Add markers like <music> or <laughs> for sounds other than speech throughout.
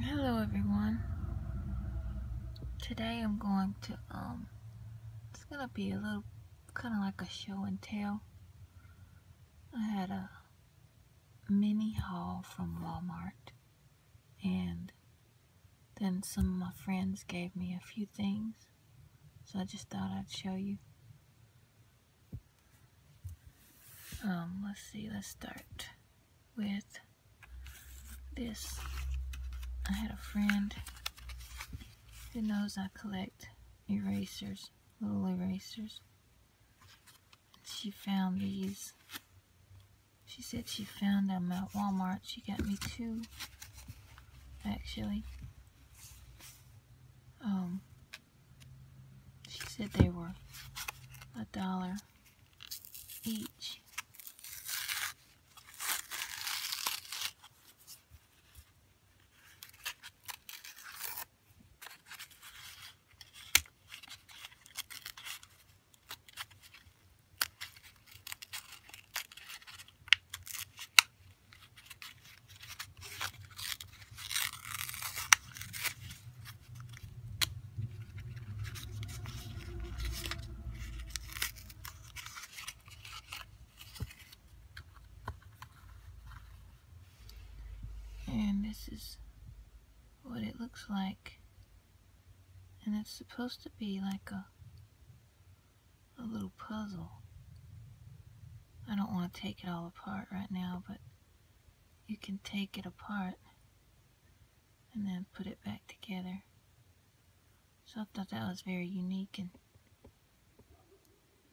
Hello everyone. Today I'm going to, um, it's gonna be a little, kind of like a show and tell. I had a mini haul from Walmart and then some of my friends gave me a few things, so I just thought I'd show you. Um, let's see, let's start with this. I had a friend who knows I collect erasers, little erasers. She found these. She said she found them at Walmart. She got me two actually. Um, she said they were a dollar each. And this is what it looks like and it's supposed to be like a a little puzzle. I don't want to take it all apart right now, but you can take it apart and then put it back together. So I thought that was very unique and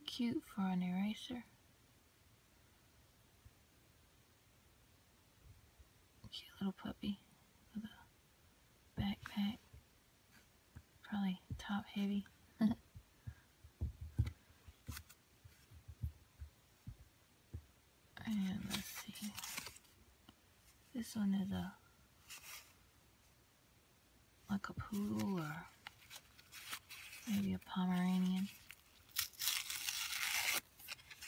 cute for an eraser. Cute little puppy backpack. Probably top heavy. <laughs> and let's see. This one is a like a poodle or maybe a Pomeranian.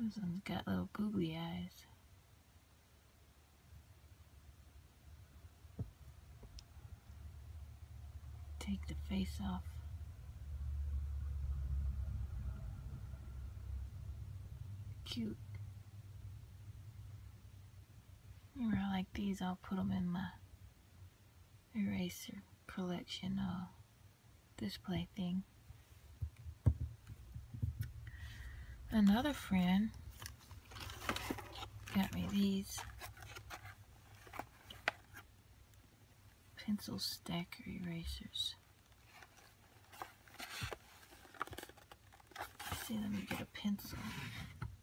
This one's got little googly eyes. Take the face off. Cute. You know, like these, I'll put them in my eraser collection uh, display thing. Another friend got me these pencil stacker erasers. see, let me get a pencil.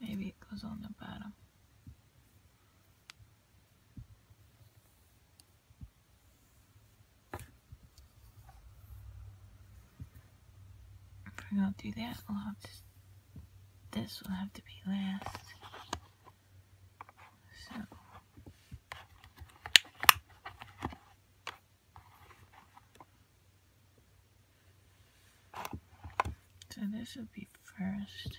Maybe it goes on the bottom. If we're gonna do that, we'll have to, this will have to be last. So. this will be first.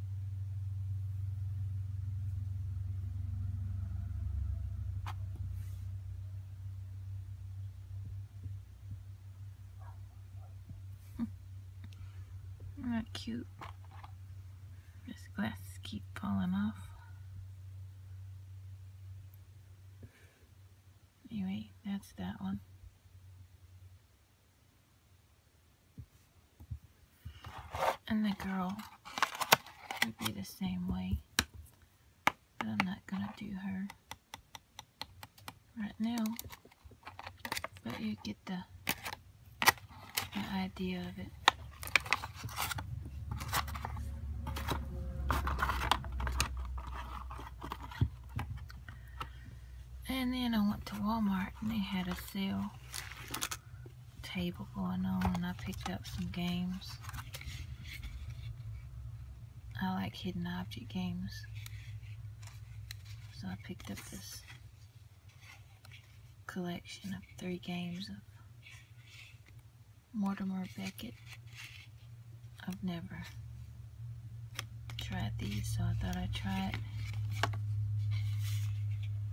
Hmm. not cute. This glass keep falling off. Anyway, that's that one. And the girl would be the same way. But I'm not going to do her right now. But you get the, idea of it. And then I went to Walmart and they had a sale table going on and I picked up some games. I like hidden object games. So I picked up this collection of three games of Mortimer Beckett. I've never tried these, so I thought I'd try it.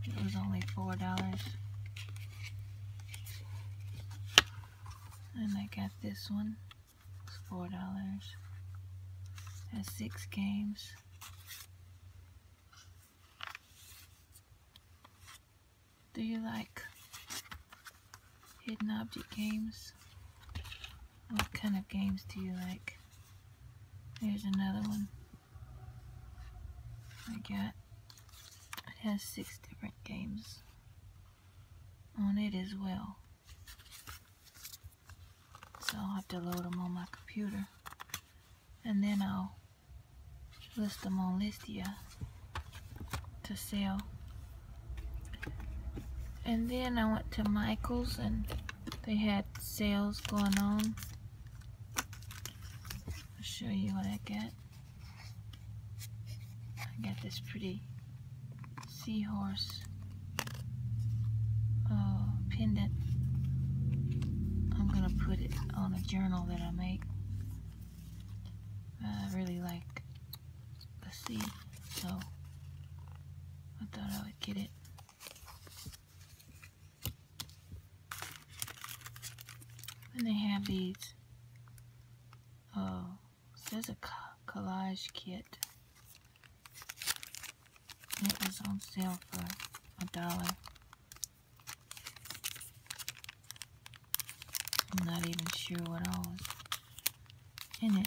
It was only $4. And I got this one. It's $4. Has six games. Do you like hidden object games? What kind of games do you like? Here's another one. I got. It has six different games on it as well. So I'll have to load them on my computer. And then I'll list them on Listia to sell. And then I went to Michael's and they had sales going on. I'll show you what I get. I got this pretty seahorse uh, pendant. I'm going to put it on a journal that I make. I really like the sea, so I thought I would get it. And they have these, oh, says a collage kit. It was on sale for a dollar. I'm not even sure what all was in it.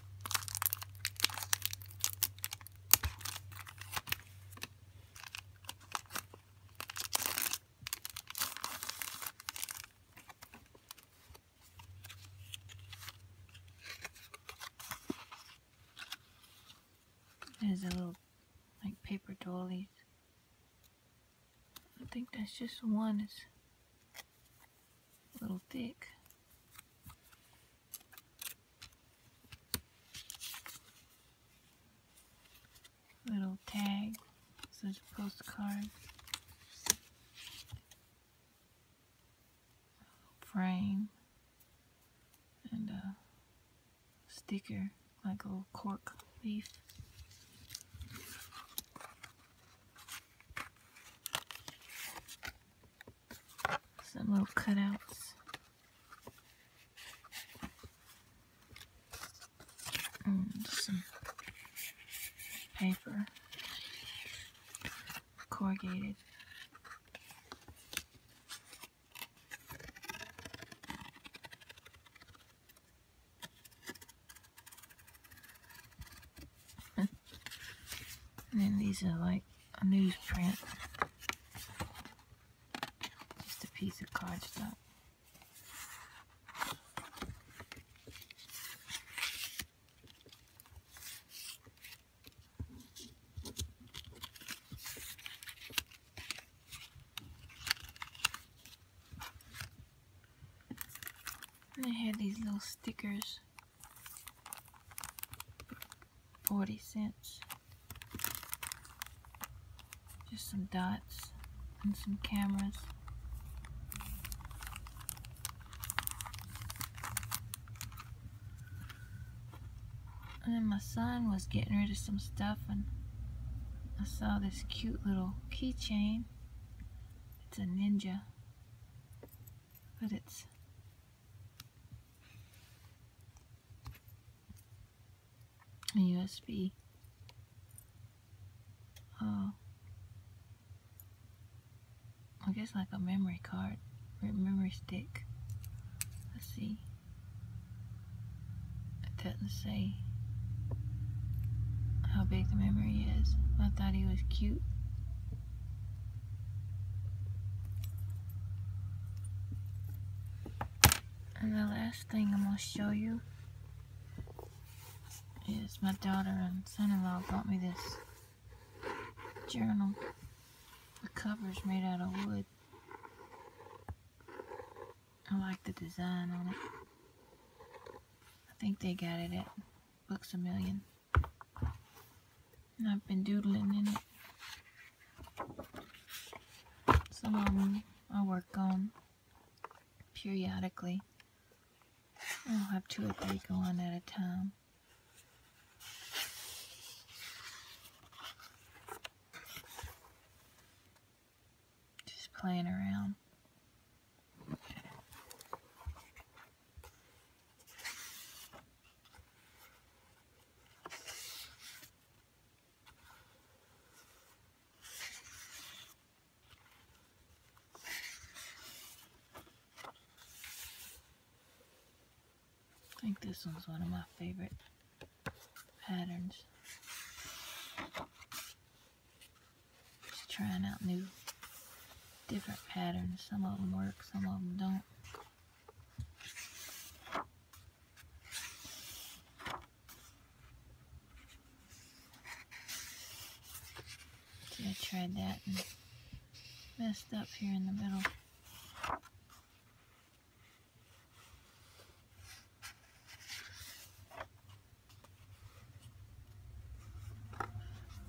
There's a little, like, paper dollies. I think that's just one little thick. Little tag, such a postcard. Frame and a sticker like a little cork leaf. Some little cutouts. And mm, some paper. Corrugated and then these are like a newsprint. Just a piece of cardstock. And I had these little stickers. 40 cents. Just some dots and some cameras. And then my son was getting rid of some stuff and I saw this cute little keychain. It's a ninja, but it's a USB. Oh, I guess like a memory card, memory stick. Let's see. I didn't say how big the memory is. I thought he was cute. And the last thing I'm going to show you is my daughter and son-in-law bought me this journal. The cover's made out of wood. I like the design on it. I think they got it at Books a Million. And I've been doodling in it. Some of them I work on periodically. I'll have two or three go on at a time. Just playing around. I think this one's one of my favorite patterns. Just trying out new, different patterns. Some of them work, some of them don't. I tried that and messed up here in the middle.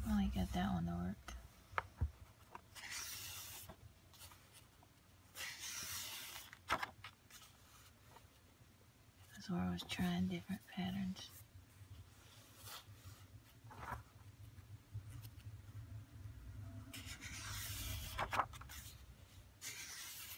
I got that one to work. That's I was trying different patterns.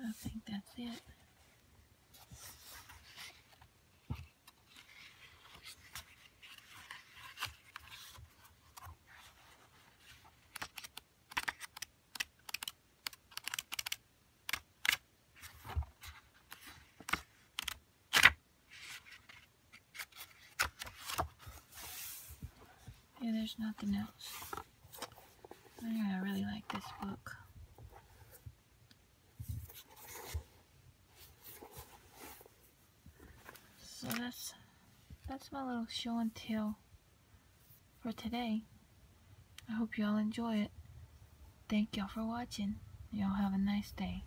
I think that's it. Yeah, there's nothing else. i really like this book. So that's that's my little show and tell for today. I hope y'all enjoy it. Thank y'all for watching. Y'all have a nice day.